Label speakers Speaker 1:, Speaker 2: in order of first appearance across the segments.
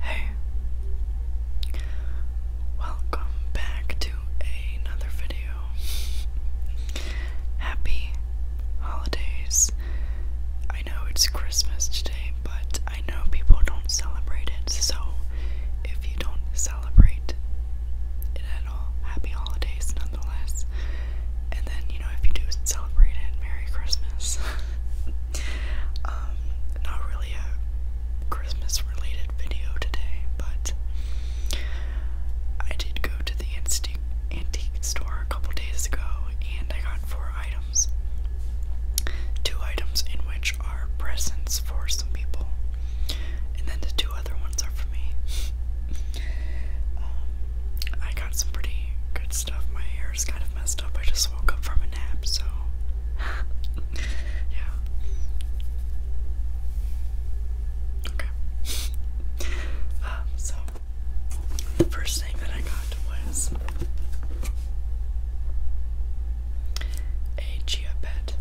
Speaker 1: Hey, welcome back to another video. Happy holidays. I know it's Christmas today, but I know people don't celebrate it, so if you don't celebrate it at all, happy holidays nonetheless. And then, you know, if you do celebrate it, Merry Christmas. Um, not really a Christmas related video today, but I did go to the antique antique store a couple days ago and I got four items. Two items in which are presents for some people, and then the two other ones are for me. Um, I got some pretty good stuff. My hair kind of messed up. I just woke up from a nap, so yeah. Okay. Uh, so the first thing that I got was a Chia Pet.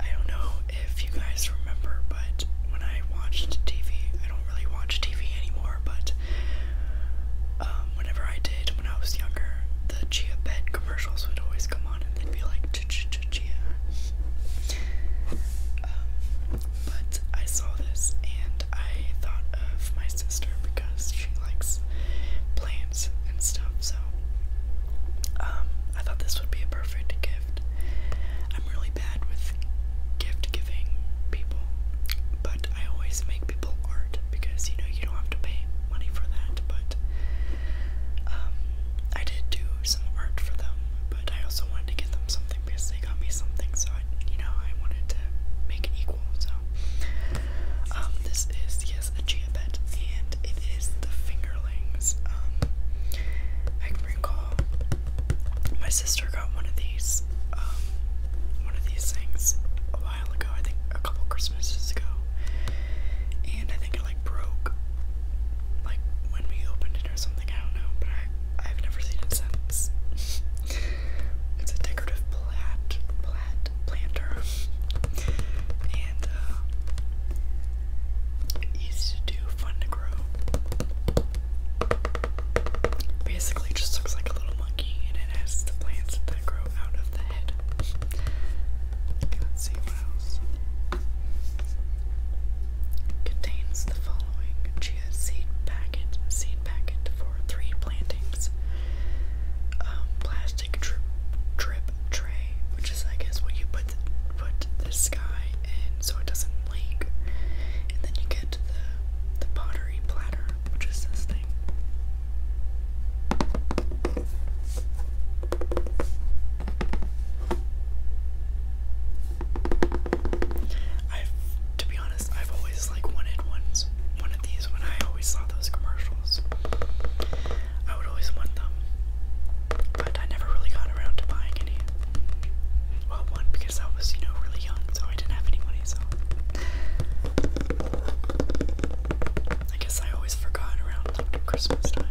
Speaker 1: I don't know if you guys remember, but when I watched TV, I don't really watch TV anymore, but um, whenever I did when I was younger, the Chia Pet commercials would always come on and they'd be like Ch -ch -ch Chia. Um, but I saw this and I thought of my sister because she likes plants and stuff, so um, I thought this would be a perfect gift. I'm really bad with gift giving people, but I always make people art because you know you don't have to pay money for that. But um, I did do some art for them, but I also wanted to give them something because they got me something, so I, you know, I wanted to make it equal. So um, this is yes a chia and it is the fingerlings. Um, I can recall my sister got one of these, um, one of these things a while ago. I think a couple Christmases ago, and I think it like broke, like when we opened it or something. I don't know, but I I've never seen it since. it's a decorative plat plat planter, and uh, easy to do, fun to grow. Basically, just looks like a little monkey, and it has the plants that grow out of the head. Okay, let's see what else. Contains the following chia seed packet, seed packet for three plantings. Um, plastic drip, drip tray, which is I guess what you put put put the sky in so it doesn't leak. And then you get the the pottery platter, which is this thing. I've to be honest, I've always like wanted ones one of these when I always saw those commercials. I would always want them. But I never really got around to buying any. Well, one, because I was, you know, really young, so I didn't have any money, so. I guess I always forgot around like, Christmas time.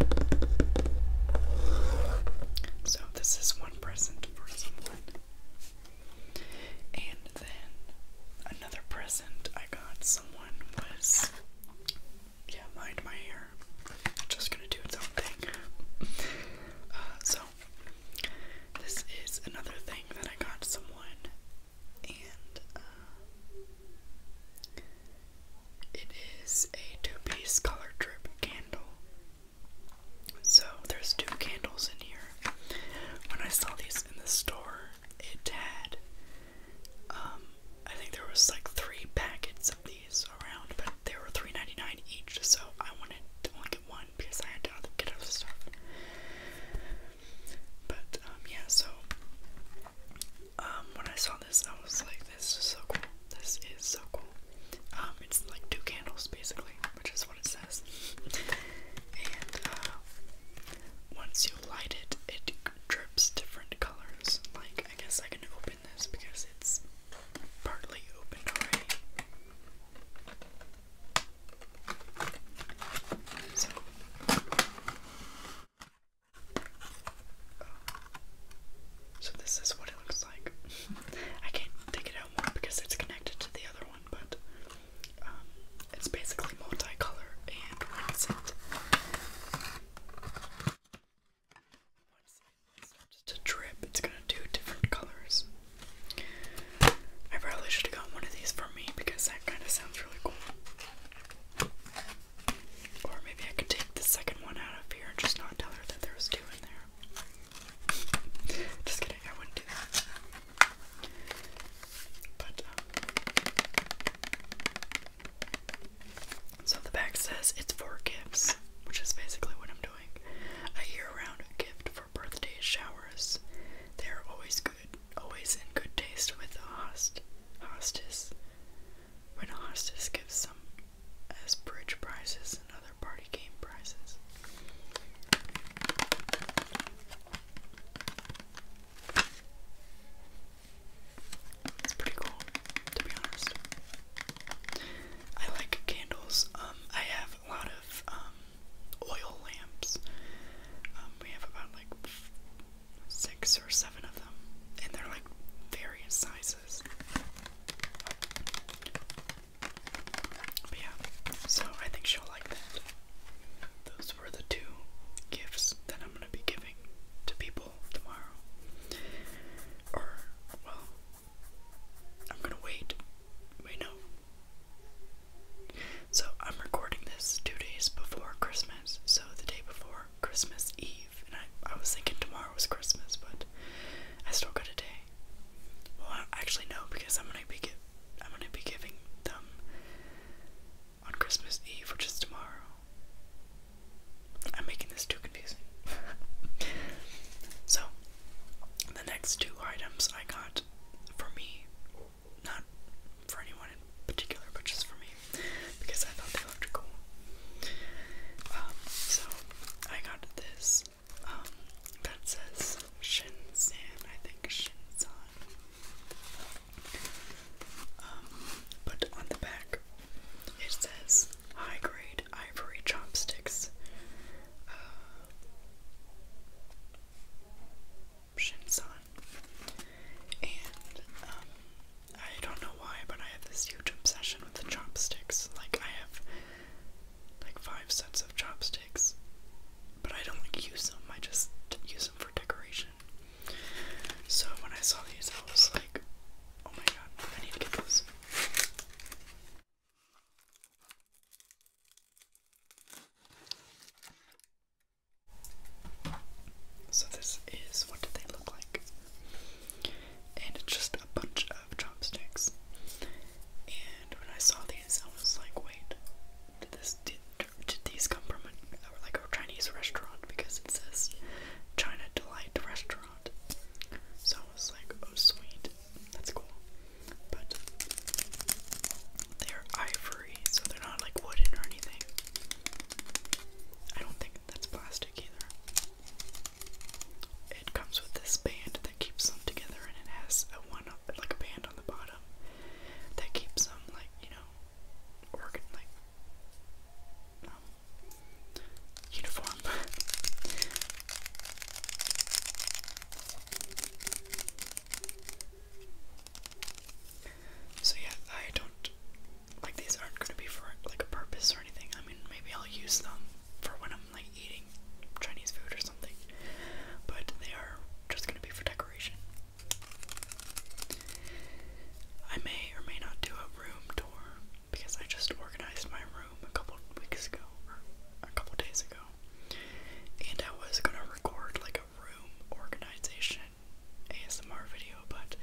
Speaker 1: So, this is one present for someone. And then another present I got someone was yeah, mind my hair. just gonna do its own thing. Uh, so, this is another thing that I got someone, and uh, it is a two-piece color drip candle. So there's two candles in here. When I saw these in the store, it had, um, I think there was like three packets of around, but they were 3 each, so I wanted to only get one because I had to get out of the store. But um, yeah, so um, when I saw this, I was like, "This is so cool! This is so cool!" Um, it's like two candles basically, which is what it says. and uh, once you light it, it drips different colors. Like I guess I can open open because it's partly opened already. Oh. So. this is what it looks like. I can't take it out more because it's connected to the other one, but um, it's basically multicolor and when it's once it starts drip, it's gonna do different colors. I probably should have gotten one of these for me because that kind of sounds really cool. Or maybe I could take the second one out of here and just not tell her that there was two in there. Just kidding, I wouldn't do that. But, um, so the back says it's for gifts, which is basically what I'm doing. A year-round gift for birthdays, showers. They are always good, always in good taste with the host, hostess. When a hostess gives some as bridge prizes and other party game prizes. It's pretty cool, to be honest. I like candles. Um, I have a lot of um, oil lamps. Um, we have about like six or seven of them, and they're like various sizes. But yeah, so I think she'll like that were the two gifts that I'm going to be giving to people tomorrow. Or, well, I'm going to wait. Wait, no. So, I'm recording this two days before Christmas. So, the day before Christmas Eve. And I, I was thinking tomorrow was Christmas, but I still got a day. Well, actually, no, because I'm going to be I'm gonna be giving them on Christmas Eve, which is tomorrow. I'm making this too confusing. so, the next two items I got for me, not for anyone in particular, but just for me, because I thought they looked cool. Um, so, I got this um, that says Shinsan, I think Shinsan. Um, but on the back, it says high grade ivory chopsticks. Uh, Shinsan. And, um, I don't know why, but I have this huge obsession with the chopsticks. Like, I have, like, five sets of chopsticks, but I don't, use them. I just use them for decoration. So when I saw these, I was like, oh my god, I need to get those. So this is what do they look like? And it's just a bunch of chopsticks. And when I saw these, I was like, wait, did this did did these come from like a Chinese restaurant because it says China Delight Restaurant. So I was like, oh sweet, that's cool. But they're ivory, so they're not like wooden or anything. I don't think that's plastic either. It comes with this band that keeps them together, and it has a one like a band on the bottom that keeps them like you know um, uniform. so yeah, I don't like these aren't going to be for like a purpose or anything. I mean, maybe I'll use them for when I'm like eating Chinese food or something, but they are just going to be for decoration. I may or may not do a room tour because I just organized my room a couple weeks ago or a couple days ago. And I was gonna record like a room organization ASMR video, but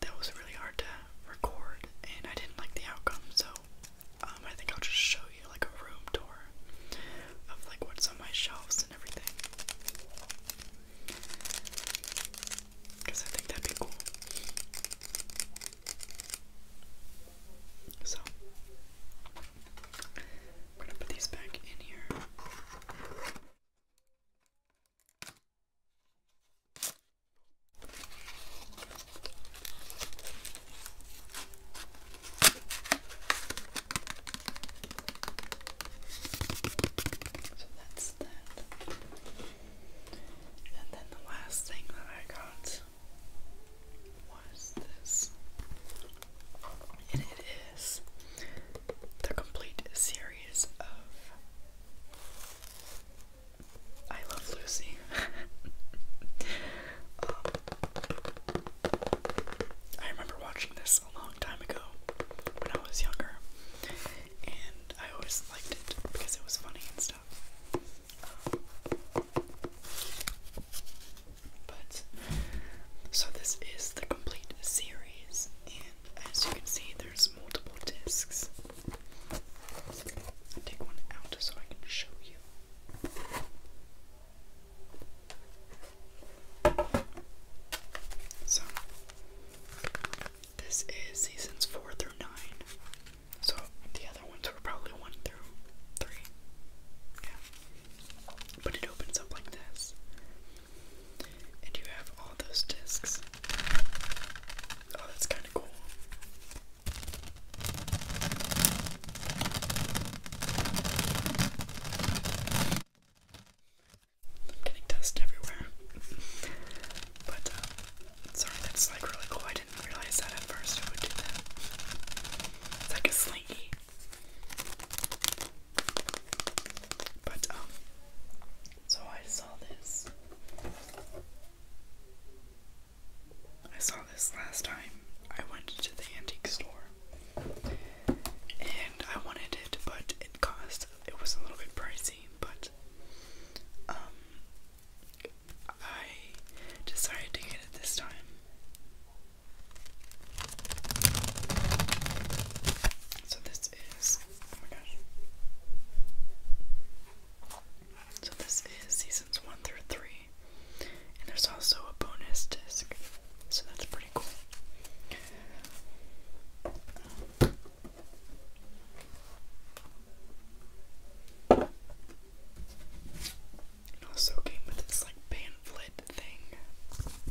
Speaker 1: that was really hard to record and I didn't like the outcome, so um, I think I'll just show you like a room tour of like what's on my shelves and everything. Because I think that'd be cool. So, I'm gonna put these back in here. So that's that. And then the last thing that I got was this. And it is the complete series of I Love Lucy. Um, I remember watching this a long time ago when I was younger, and I always liked it because it was funny and stuff. but so this is the complete series, and as you can see, there's multiple disks take one out so I can show you. So, this is seasons four through nine. So, the other ones were probably one through three. Yeah. But it opens up like this. And you have all those discs. Oh, that's kind of cool getting dust everywhere. but, uh, sorry, that's like really cool. I didn't realize that at first it would do that. It's like a slinky. But, um, so I saw this. I saw this last time I went to the antique store and I wanted it, but it cost, it was a little bit pricey, but um, I decided to get it this time. So this is, oh my gosh. So this is seasons one through three, and there's also a bonus disc, so that's pretty cool. also came with this like pamphlet thing.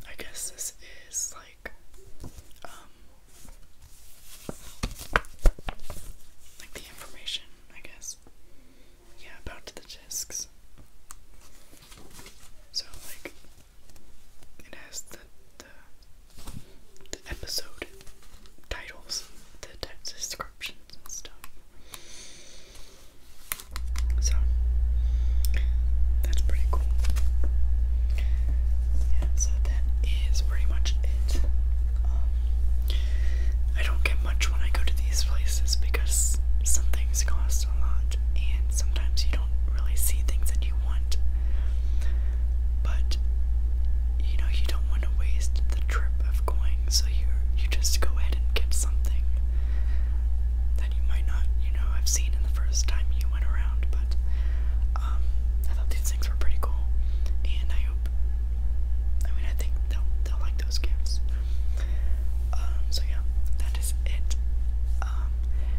Speaker 1: I guess this is like um, like the information, I guess. Yeah, about the discs. So, like, it has the, the, the episode titles, the text descriptions and stuff. So, that's pretty cool. Yeah, so that is pretty much it um, I don't get much when I go to these places because some things cost a lot, and sometimes you don't really see things that you want. But you know you don't want to waste the trip of going, so you you just go ahead and get something that you might not you know have seen in the first time you went around. But um, I thought these things were pretty cool, and I hope. I mean, I think they'll they'll like those gifts. Um, so yeah, that is it. Um,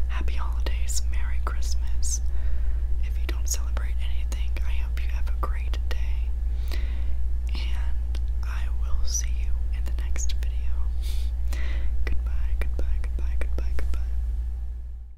Speaker 1: happy holidays, Merry Christmas. If you don't celebrate anything, I hope you have a great day, and I will see you in the next video. goodbye, goodbye, goodbye, goodbye, goodbye.